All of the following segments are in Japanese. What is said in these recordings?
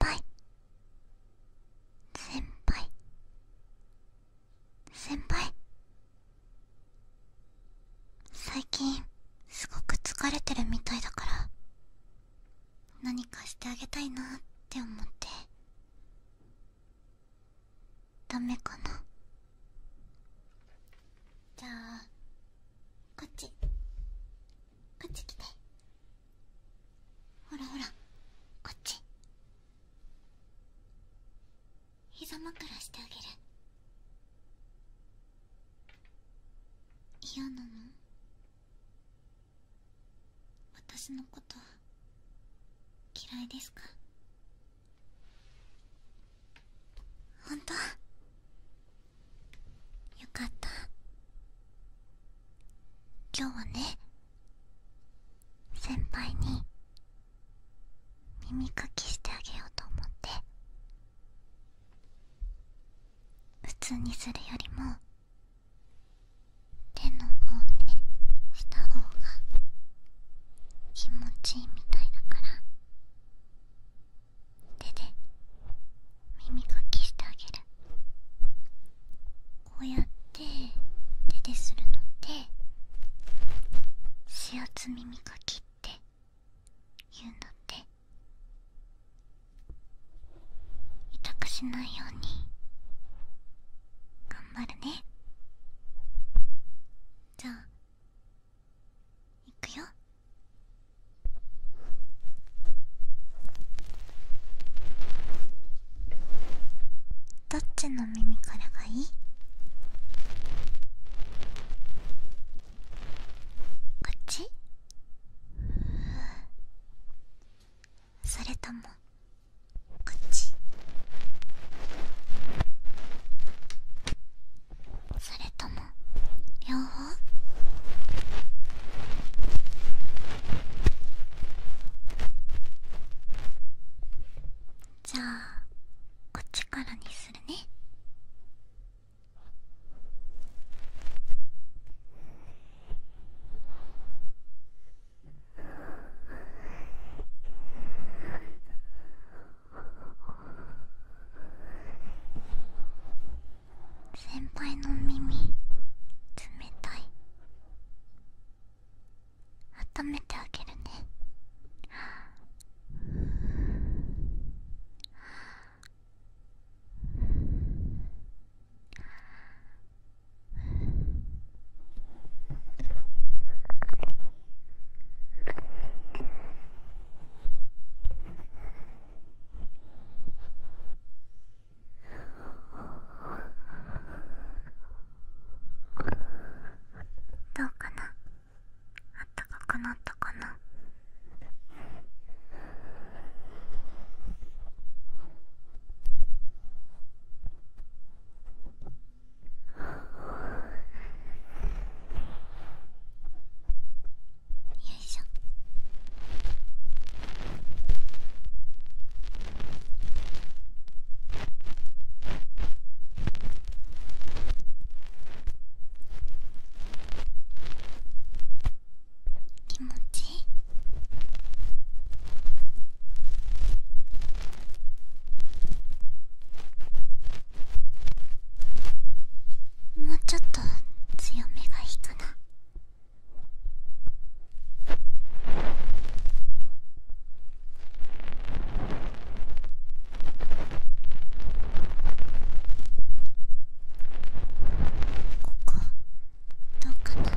輩先輩先輩最近すごく疲れてるみたいだから何かしてあげたいなって思ってダメかなじゃあこっちこっち来てほらほらこっち膝枕してあげる嫌なの私のこと嫌いですか本当よかった今日はね先輩に耳かきしてあげようと思って普通にするよりも手の方でした方が気持ちいいみたいだから手で耳かきしてあげるこうやって手でするのって指圧耳かきって言うんだって痛くしないように頑張るねじゃあいくよ。どっちの耳からがいいこそれともこそれとも両じゃあこっちからにするね先輩の耳冷たい温めてあげるねああ。どうかなあったかくなったかなよいしょ気持ちいいもうちょっと強めがいいかな。こどうかな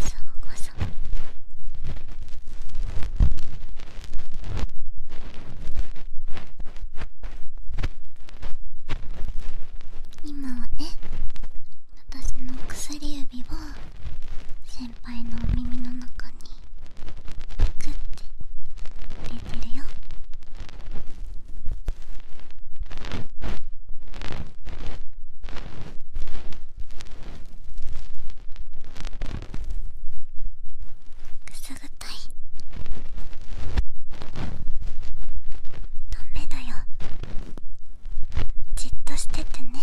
シャゴ今はね私の薬指を先輩のお耳の中にグッて入れてるよくすぐったいダメだよじっとしててねう。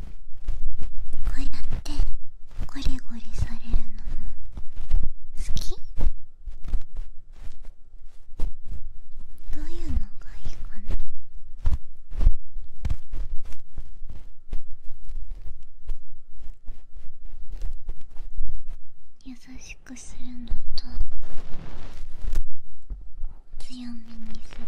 こうやってゴリゴリされるのも好きどういうのがいいかな優しくするのと強めにするの？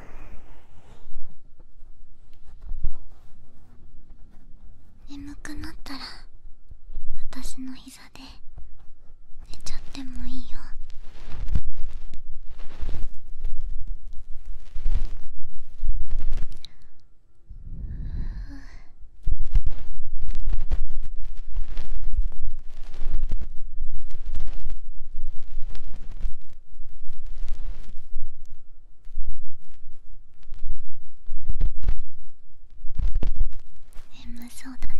眠くなったら私の膝で寝ちゃってもいいよ眠そうだね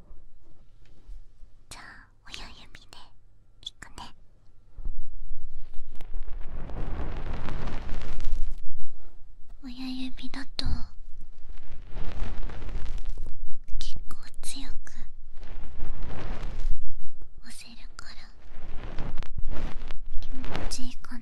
じゃあ親指でいくね親指だと結構強く押せるから気持ちいいかな。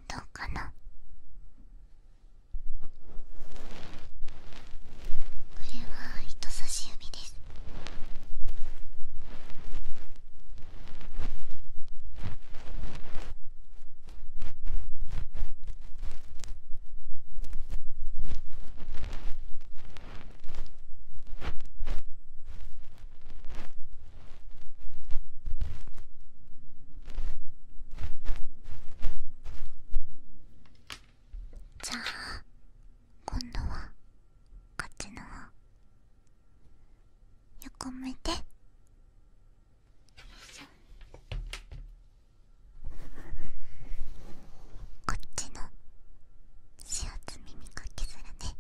どうかなこれは人差し指ですじゃあ今度はこっちの方横向いてよいしょこっちの塩摘耳かけするね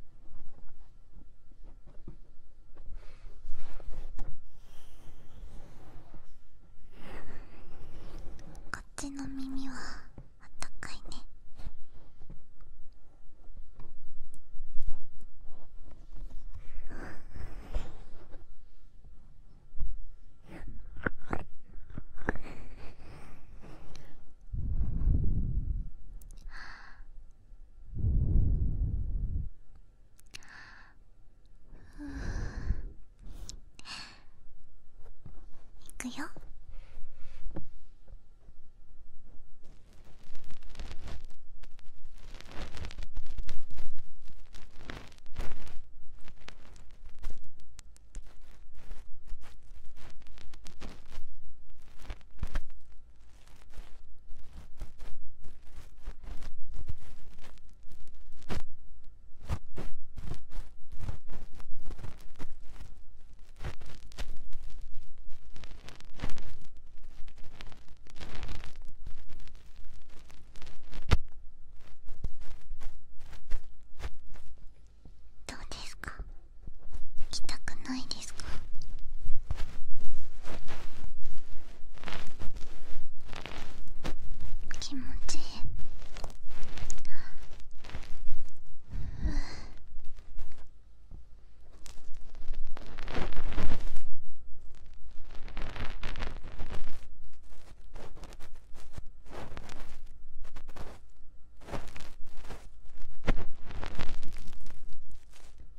こっちの耳はあったかいねいくよどうですか行たくないですか気持ちいい。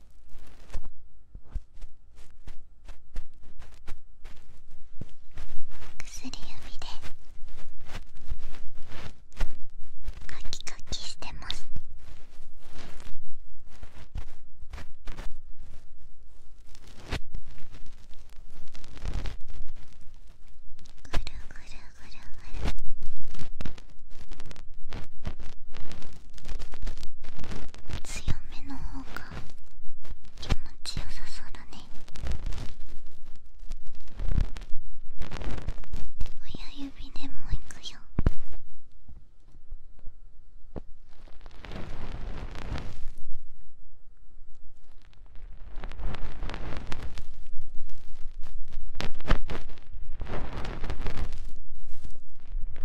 薬指でカキカキしてますぐるぐるぐるぐる。強めの方が気持ちよさそうだね親指でもいくよ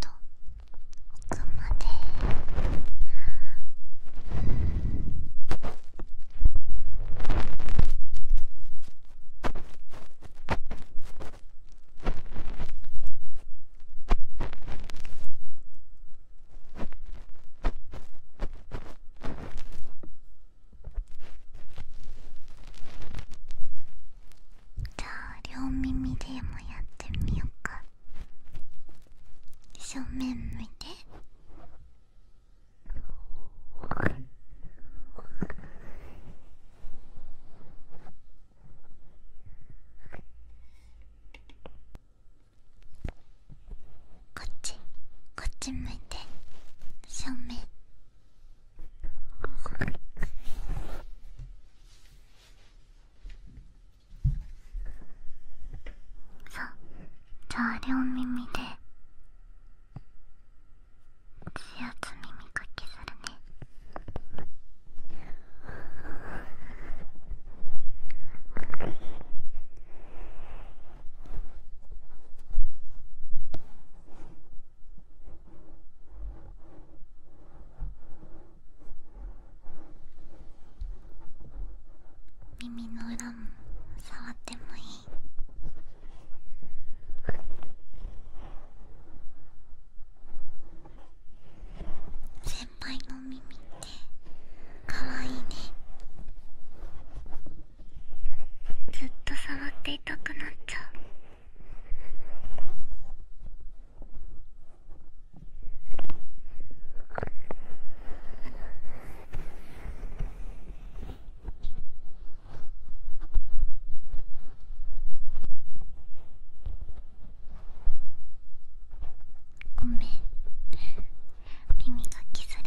と奥まで。じゃあ両耳でもやってみようか正面向いてこっちこっち向いて正面さあじゃあ両耳で指圧耳かきするね耳の裏も触ってもいい先輩の耳ってかわいねずっと触っていたくなっちゃうごめん耳がきするね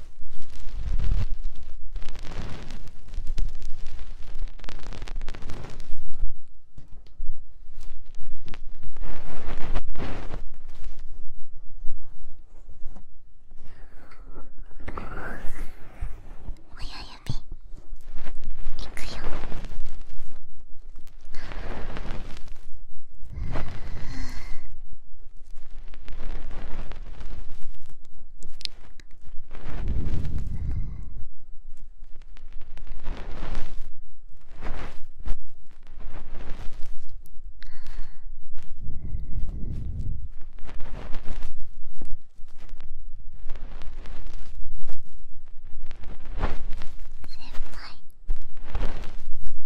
親指先輩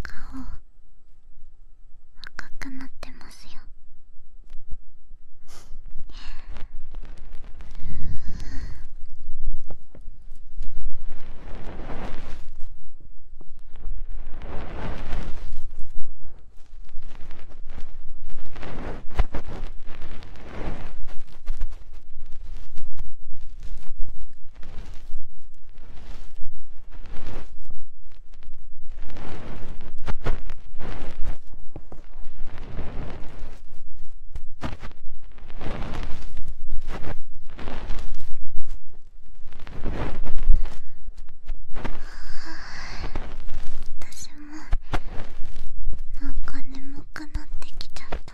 顔赤くなってますよあ私もなんか眠くなってきちゃった。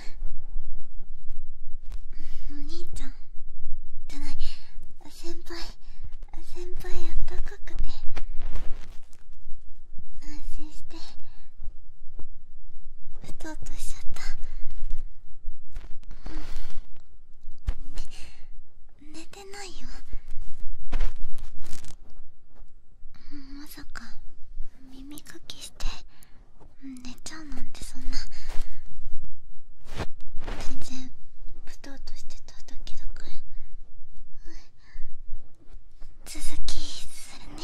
お兄ちゃんじゃない先輩先輩あったかくて安心してうとうとしちゃった、うん、寝てないよまさか耳かきして寝ちゃうなんてそんな全然ぶとうとしてただけだから、うん、続きするね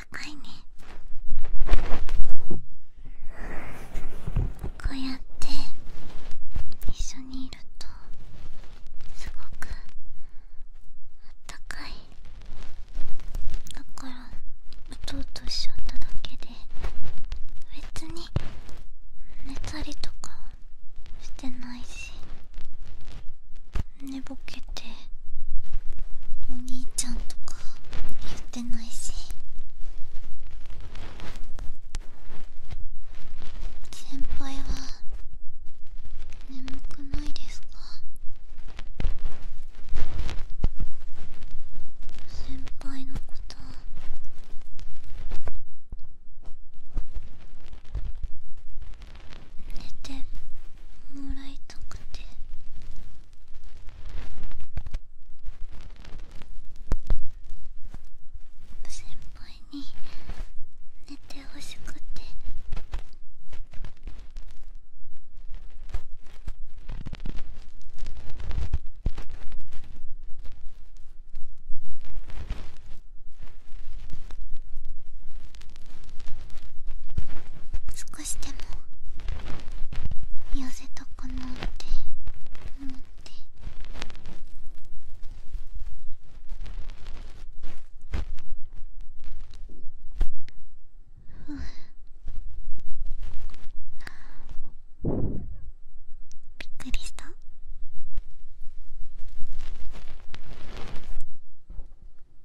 こうやって一緒にいるとすごくあったかいだからうととしちゃっただけで別に寝たりとかしてないし寝ぼけてお兄ちゃんとか言ってないし先輩は眠くないですか先輩のこと寝てもらいたくて。先輩に寝てほしくてくしても痩せたかなって思ってびっくりした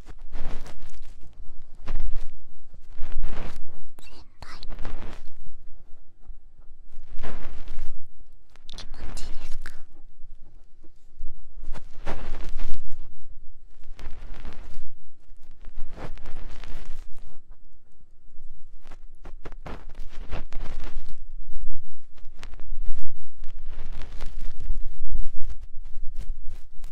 輩気持ちいいですか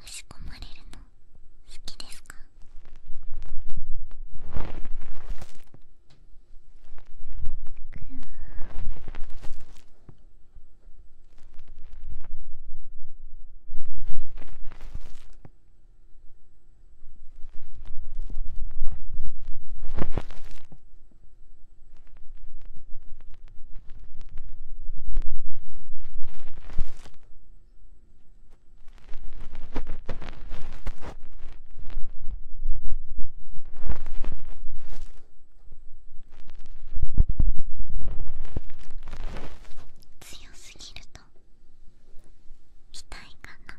押し込まれるの好きですかあ強すぎると痛ないかな。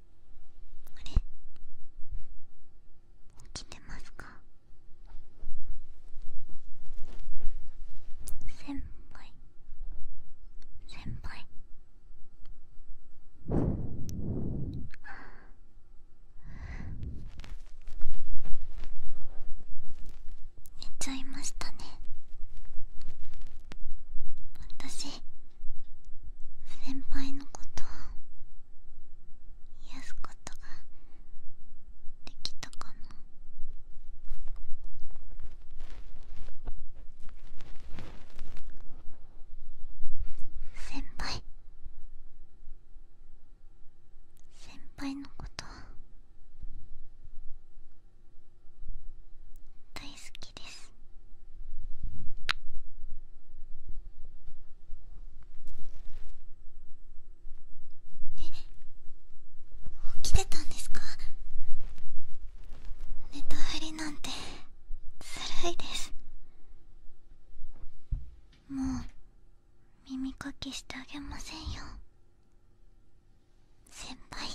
あれ起きてますか先輩先輩寝ちゃいましたね私先輩のことを癒すことができたかな先輩先輩のこと大好きですえっ、起きてたんですか寝たふりなんてずるいですもう耳かきしてあげませんよ先輩